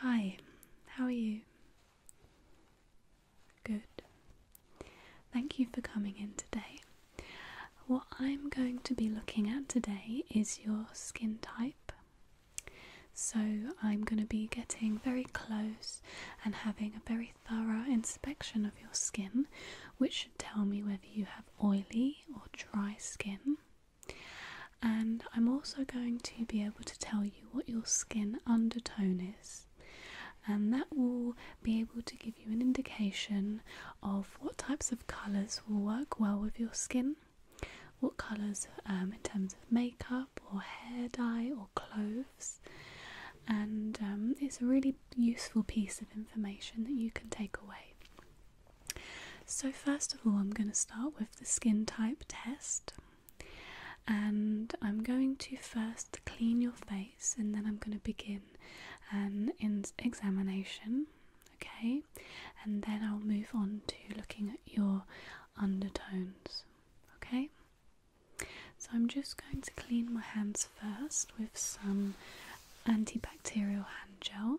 Hi, how are you? Good. Thank you for coming in today. What I'm going to be looking at today is your skin type. So, I'm going to be getting very close and having a very thorough inspection of your skin, which should tell me whether you have oily or dry skin. And I'm also going to be able to tell you what your skin undertone is, and that will be able to give you an indication of what types of colours will work well with your skin, what colours um, in terms of makeup or hair dye or clothes. And um, it's a really useful piece of information that you can take away. So, first of all, I'm going to start with the skin type test. And I'm going to first clean your face and then I'm going to begin an examination, okay? And then I'll move on to looking at your undertones, okay? So I'm just going to clean my hands first with some antibacterial hand gel.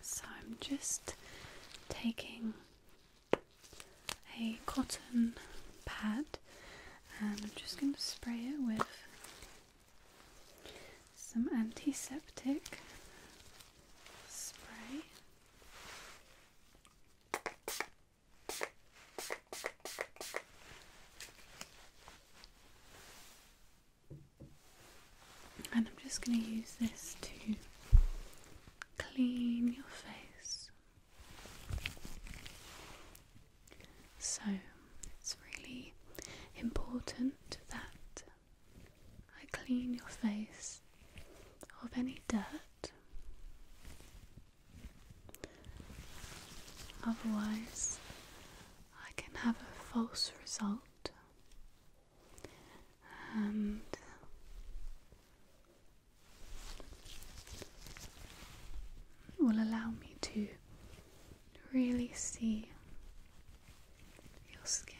So I'm just taking a cotton pad and I'm just going to spray it with some antiseptic spray. And I'm just going to use this to clean your face. So it's really important that I clean your face of any dirt Otherwise, I can have a false result and will allow me to really see your skin.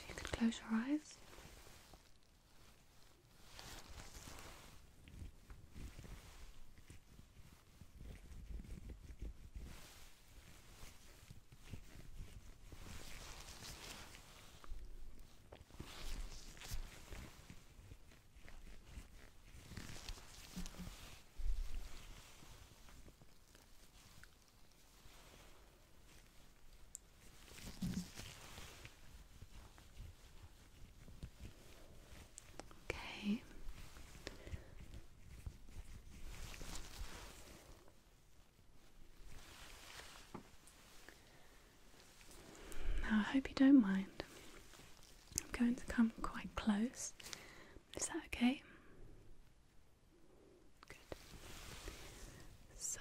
If you could close your eyes. Okay. Now, I hope you don't mind. I'm going to come quite close. Is that okay? Good. So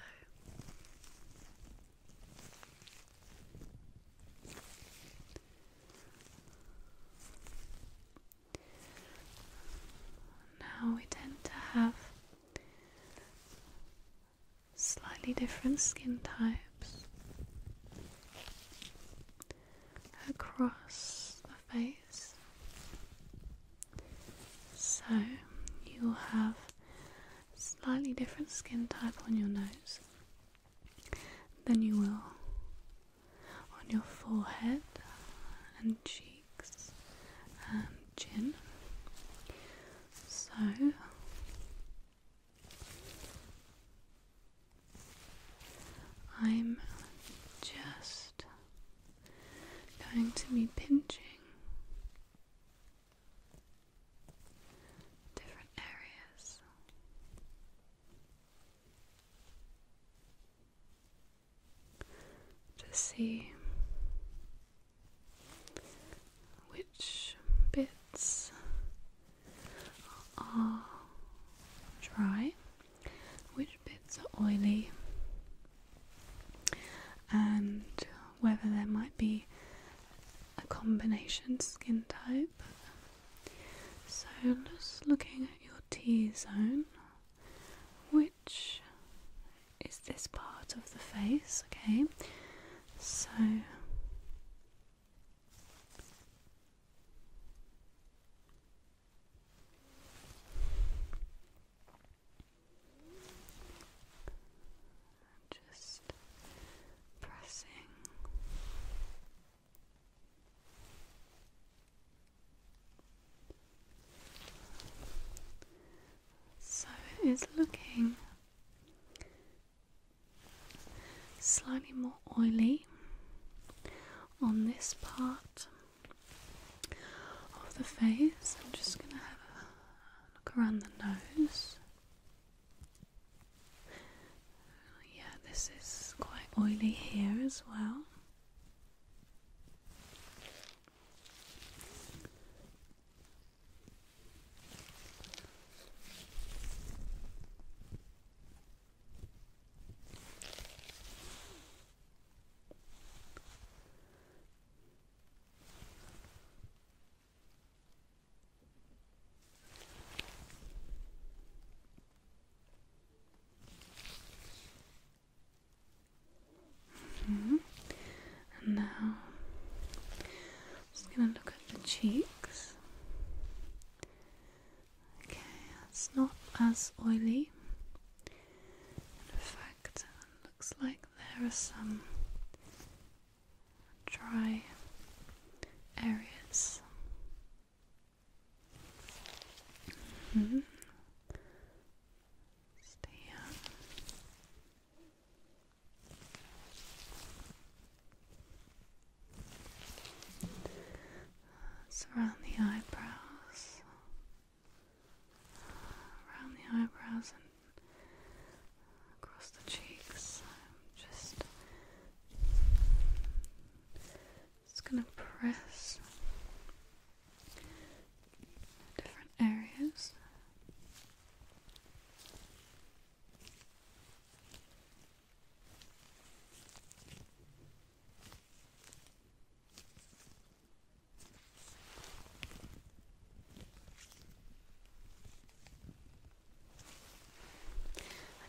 now we tend to have slightly different skin types across the face. So you'll have slightly different skin type on your nose than you will on your forehead and cheeks and chin. So I'm just going to be pinching different areas. To see which bits are dry which bits are oily, and whether there might be a combination skin type. So, just looking at your T zone, which is this part of the face, okay? So, I'm just pressing. So it is looking slightly more oily on this part of the face. I'm just going to have a look around the nose. Yeah, this is quite oily here as well. Mm-hmm. And now just going to look at the cheeks. Okay, that's not as oily. In fact, looks like there are some dry areas. Mm-hmm. Stay around the eyebrows around the eyebrows and across the cheeks. I'm just just gonna press different areas.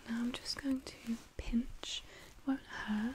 And now I'm just going to pinch, it won't hurt.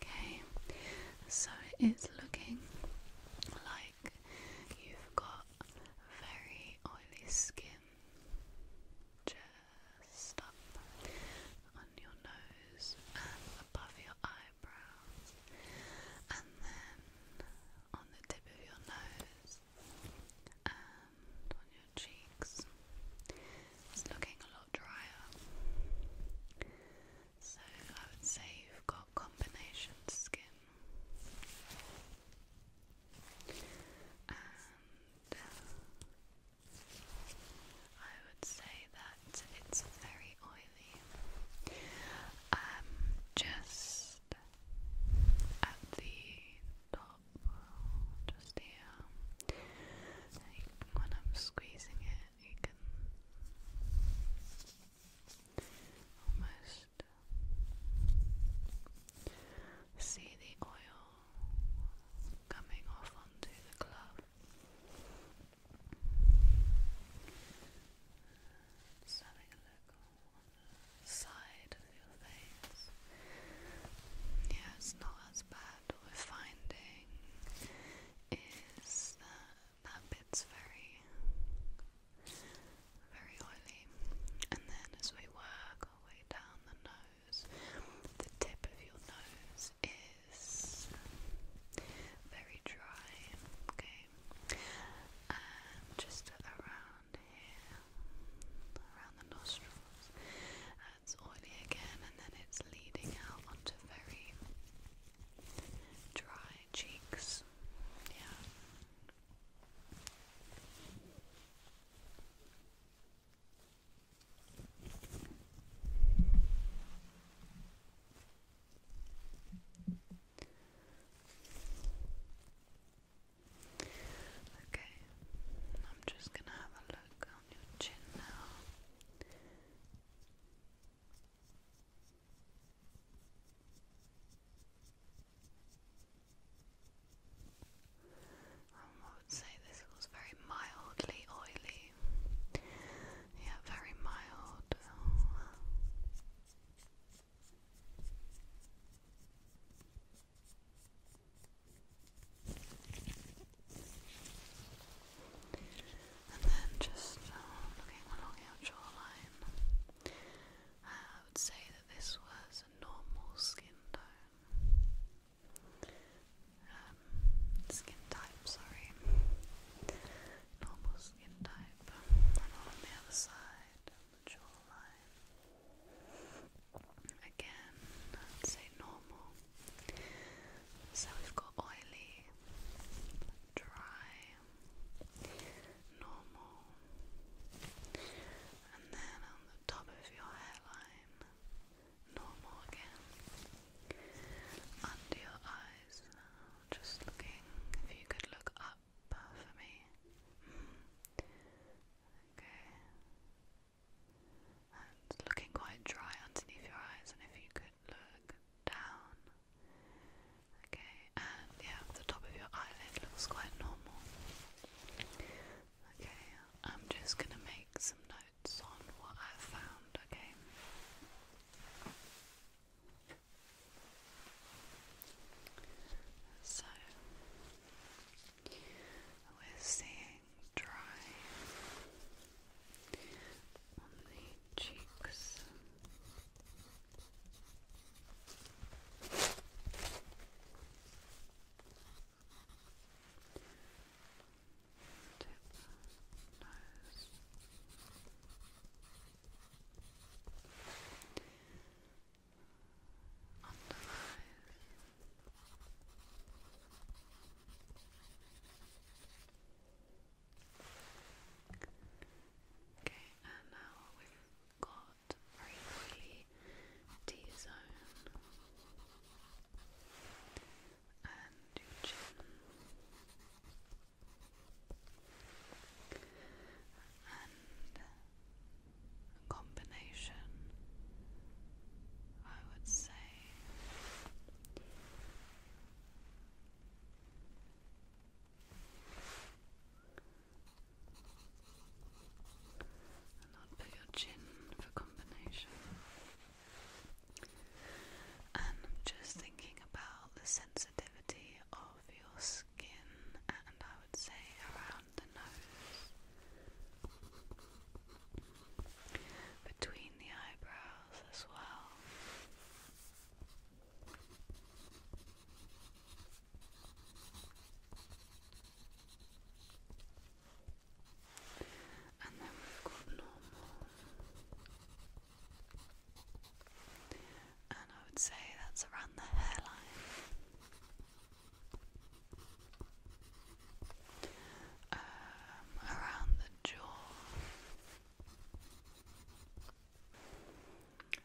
Okay, so it's looking like you've got very oily skin just up on your nose and above your eyebrows, and then on the tip of your nose and on your cheeks. It's looking a lot drier. So I would say you've got combination skin. And uh, I would say that it's very oily. Um, just at the top, just here, when I'm squeezing it you can almost uh, see the oil coming off onto the glove. having a look on the side of your face. Yeah, it's not as bad. What we're finding is that that bit's very, very oily. And then as we work our way down the nose, the tip of your nose is very dry, okay? And just around here, around the nostrils, uh, it's oily again, and then it's leading out onto very dry cheeks. Yeah. Okay, I'm just going to have a look on your chin now. Um, I would say this was very mildly oily. Yeah, very mild. Oh. And then just uh, looking along your jawline, I would say that this was a normal skin tone. Um, skin type, sorry. Normal skin type. on the other side the jawline. Again, say normal. So we've got oily, dry, normal, and then on the top of your hairline, normal again. Under your eyes, just looking, if you could look up for me. Okay. And looking quite dry underneath your eyes, and if you could look down. Okay, and yeah, the top of your eyelid looks quite normal. Okay, I'm just gonna make some notes on what I've found, okay? So, we're seeing dry on the cheeks. Tip, nose. Under eyes. Okay, and now we've got very T zone and chin. And combination, I would say, and not put your chin for combination. And I'm just thinking about the sensitivity of your skin, and I would say around the nose, between the eyebrows as well. And then we've got normal. And I would say that's around the hairline. Um, around the jaw.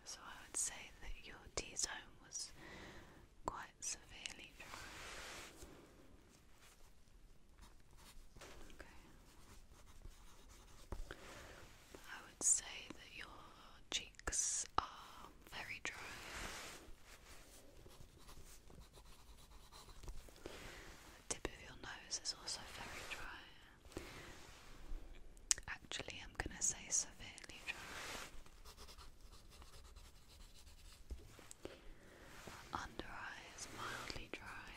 So I would say that your T zone was quite severely dry. Okay. I would say that your cheeks are very dry tip of your nose is also very dry. Actually, I'm going to say severely dry. Under eye mildly dry.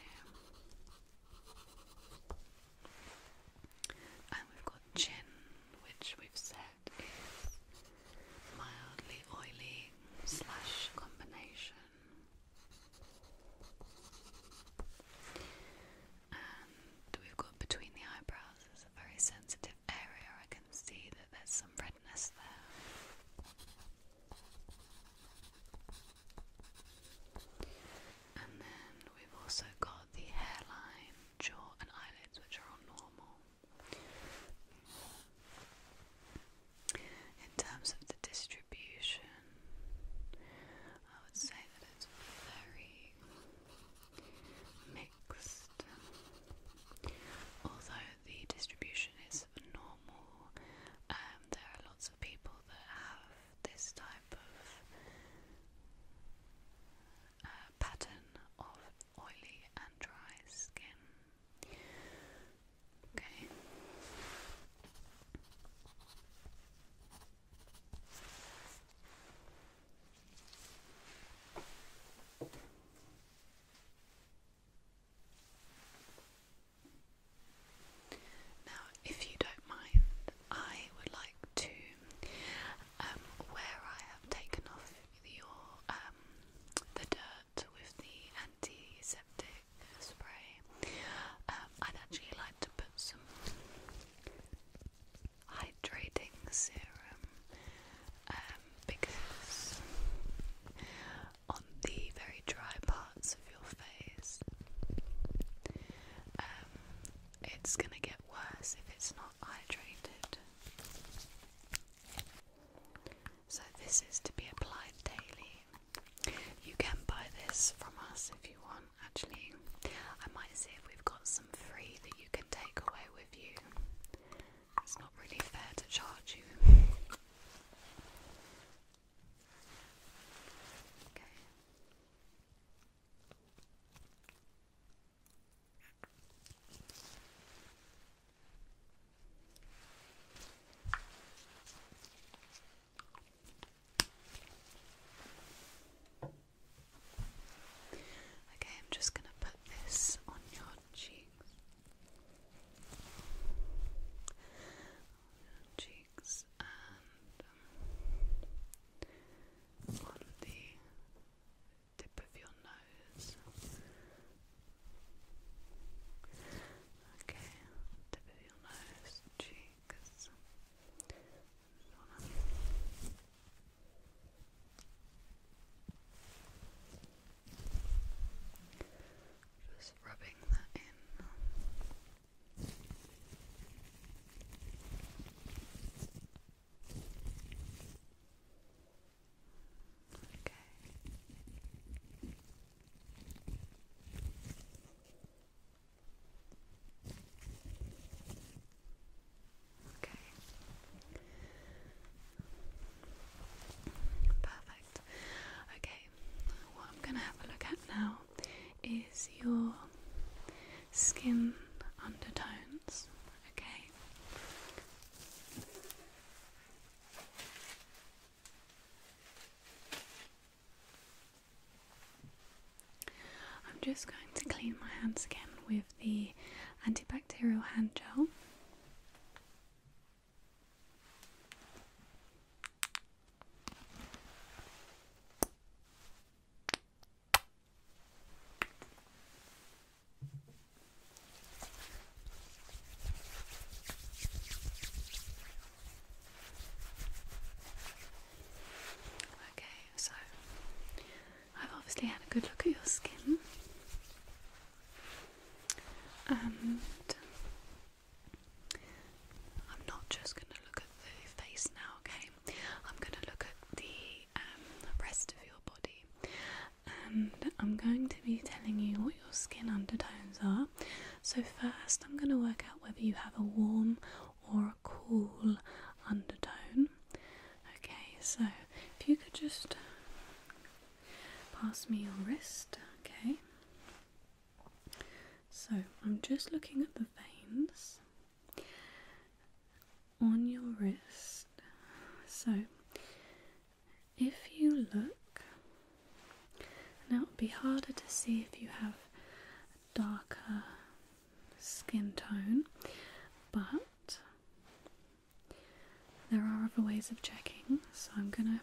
And we've got chin, which we've said is mildly oily slash combination and we've got between the eyebrows is a very sensitive area. I can see that there's some redness there. And then we've also got the hairline, jaw, and eyelids, which are all normal. In terms of the distribution, I would say that it's very mixed, although the distribution is normal. Um, there are lots of people that have this type of uh, pattern of oily and dry skin. Okay. Now, if you don't mind, I would like to, um, where I have taken off your um, the dirt with the antiseptic spray. Um, I'd actually like to put some hydrating serum um, because on the very dry parts of your face, um, it's gonna get worse if it's not hydrated. So, this is to be applied daily you can buy this from us if you want, actually. I might see if we've got some free that you can take away with you. It's not really fair to charge you. Okay. Okay, I'm just going to put this on your cheeks. cheeks and um, on the tip of your nose. Okay, tip of your nose cheeks zona just rubbing that in Okay. Okay. Perfect. Okay, what I'm going to have a look at now is your skin undertones. Okay. I'm just going to clean my hands again with the antibacterial hand gel. Okay, so I've obviously had a good look at your skin, and I'm not just going to look at the face now, okay? I'm going to look at the um, rest of your body, and I'm going to be telling you what your skin undertones are. So, first, I'm going to work out whether you have a warm or a cool undertone. Okay, so if you could just pass me your wrist, okay? So, I'm just looking at the veins on your wrist. So, if you look now it would be harder to see if you have a darker skin tone, but there are other ways of checking, so I'm gonna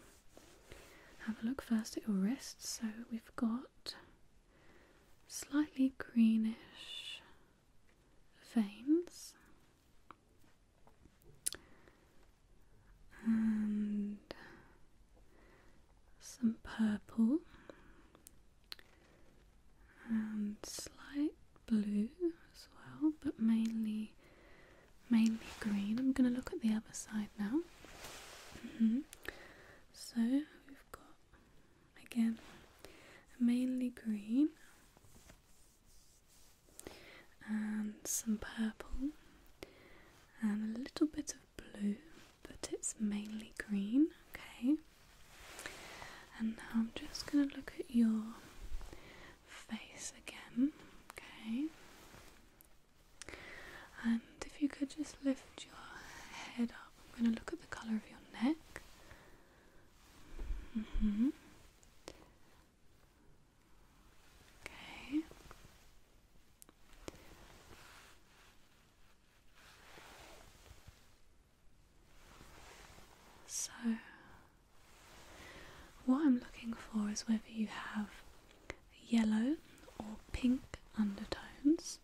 have a look first at your wrists. So we've got slightly greenish veins and some purple and slight blue as well, but mainly mainly green. I'm going to look at the other side now. Mm-hmm. So we've got again mainly green and some purple and a little bit of blue, but it's mainly green, okay? And now I'm just going to look at your face again, okay? And if you could just lift your head up, I'm going to look at the colour of your neck. Mm-hmm. Okay. So, what I'm looking for is whether you have yellow or pink undertones.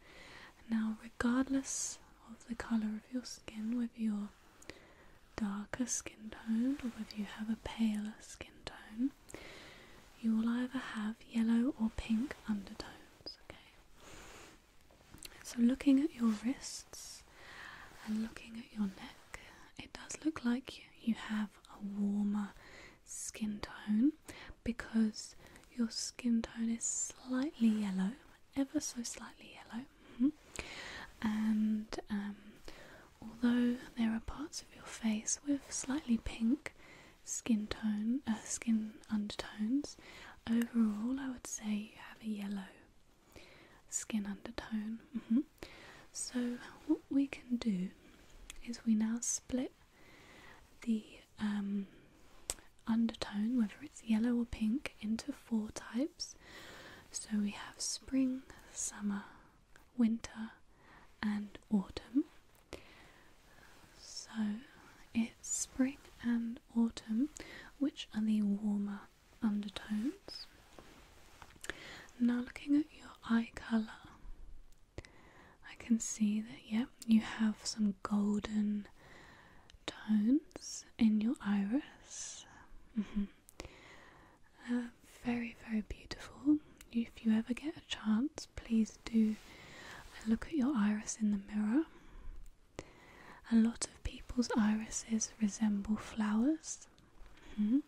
Now, regardless of the colour of your skin, whether you're darker skin tone or whether you have a paler skin tone, you will either have yellow or pink undertones. Okay, so looking at your wrists and looking at your neck, it does look like you have a warmer skin tone because your skin tone is slightly yellow, ever so slightly yellow. Mm-hmm. And um, although there are parts of your face with slightly pink, skin tone, uh, skin undertones. Overall, I would say you have a yellow skin undertone. Mm-hmm. So what we can do is we now split the um, undertone, whether it's yellow or pink, into four types. So we have spring, summer, winter and autumn. So it's spring and autumn, which are the warmer undertones. Now, looking at your eye colour, I can see that, Yep, you have some golden tones in your iris. Mm-hmm. Uh, very, very beautiful. If you ever get a chance, please do. And look at your iris in the mirror. A lot of people's irises resemble flowers. Mm-hmm.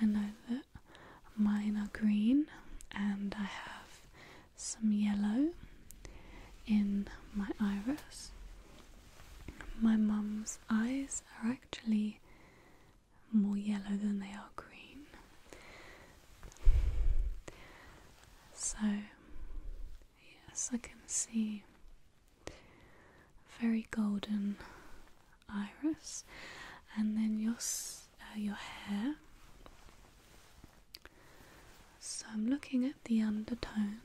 I know that mine are green, and I have some yellow in my iris. My mum's eyes are actually more yellow than they are green. So, yes, I can see very golden iris, and then your uh, your hair. So I'm looking at the undertones.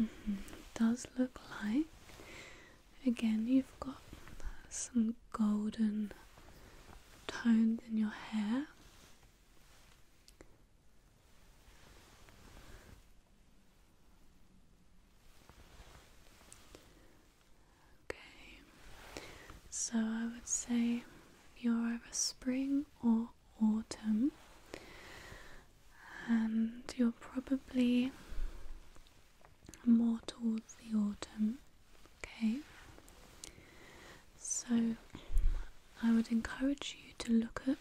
Mm-hmm. does look like, again, you've got some golden tones in your hair. Okay, so I would say you're over spring or autumn, and you're probably more towards the autumn. Okay, so I would encourage you to look at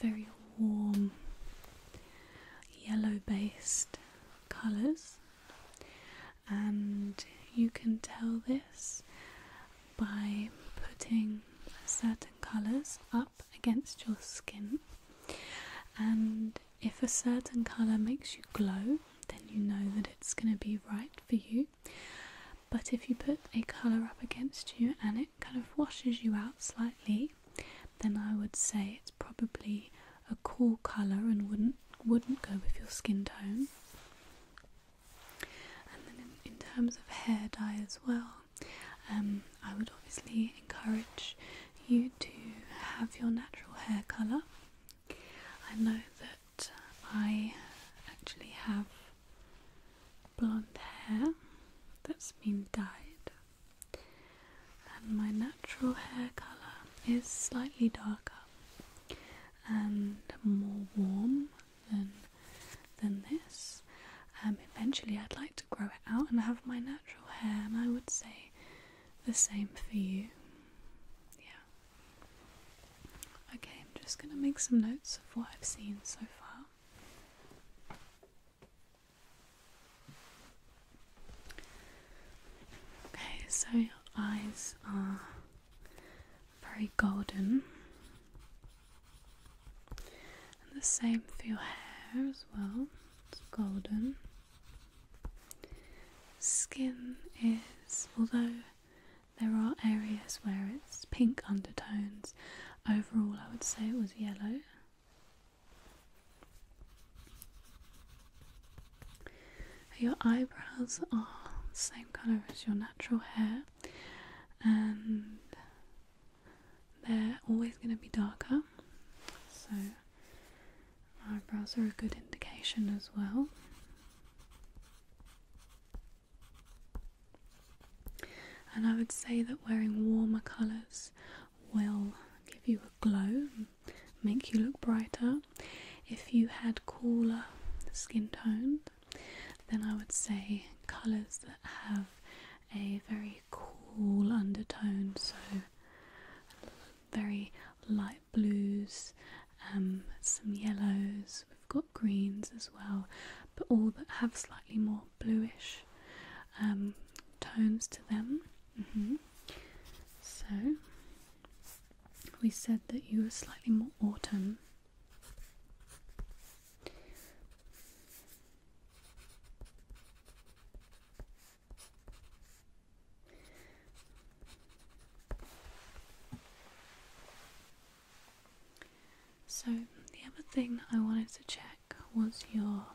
very warm yellow based colours, and you can tell this by putting certain colours up against your skin, and if a certain colour makes you glow, then you know that it's going to be right for you. But if you put a colour up against you and it kind of washes you out slightly, then I would say it's probably a cool colour and wouldn't wouldn't go with your skin tone. And then in, terms of hair dye as well, um, I would obviously encourage you to have your natural hair colour. I know that I actually have blonde hair that's been dyed, and my natural hair colour is slightly darker and more warm than than this. Um, eventually, I'd like to grow it out and have my natural hair, and I would say the same for you. Yeah. Okay, I'm just going to make some notes of what I've seen so far. Okay, so your eyes are very golden. And the same for your hair as well, it's golden. Skin is, although there are areas where it's pink undertones, overall I would say it was yellow. Your eyebrows are the same colour as your natural hair and they're always going to be darker, so eyebrows are a good indication as well. And I would say that wearing warmer colours will give you a glow, make you look brighter. If you had cooler skin tones, then I would say colours that have a very cool undertone, so very light blues, um, some yellows, we've got greens as well, but all that have slightly more bluish um, tones to them. Mm-hmm. So we said that you were slightly more autumn so, the other thing I wanted to check was your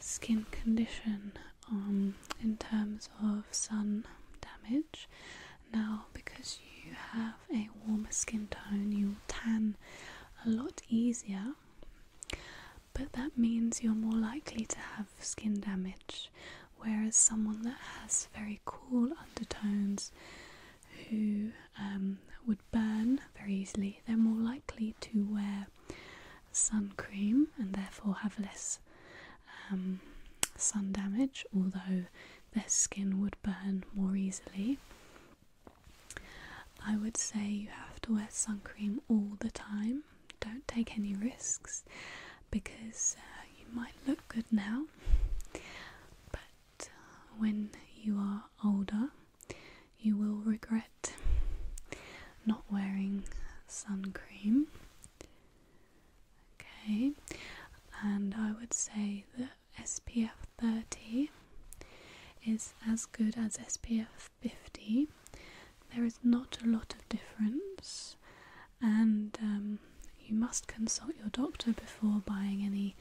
skin condition um, in terms of sun damage now, because you have a warmer skin tone, you'll tan a lot easier, but that means you're more likely to have skin damage. Whereas someone that has very cool undertones who um, would burn very easily, they're more likely to wear sun cream and therefore have less um, sun damage, although their skin would burn more easily. I would say you have to wear sun cream all the time. Don't take any risks because uh, you might look good now, but uh, when you are older, you will regret not wearing sun cream. Okay, and I would say that SPF 30 is as good as SPF 50. There is not a lot of difference, and um, you must consult your doctor before buying any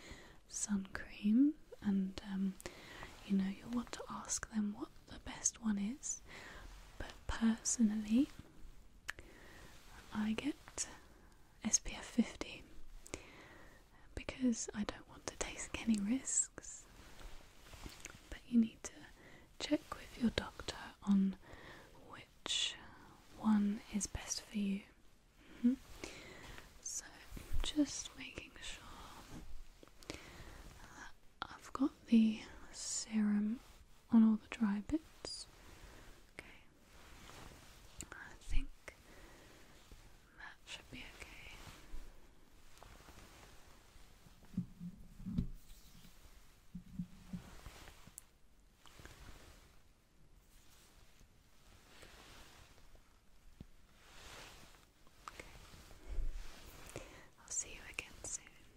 sun cream. And um, you know, you'll want to ask them what the best one is. But personally, I get SPF 50 because I don't want to take any risks. But you need to check with your doctor on which one is best for you. Mm -hmm. So, just making sure that I've got the serum on all the dry bits. Okay. I think that should be okay. Okay. I'll see you again soon.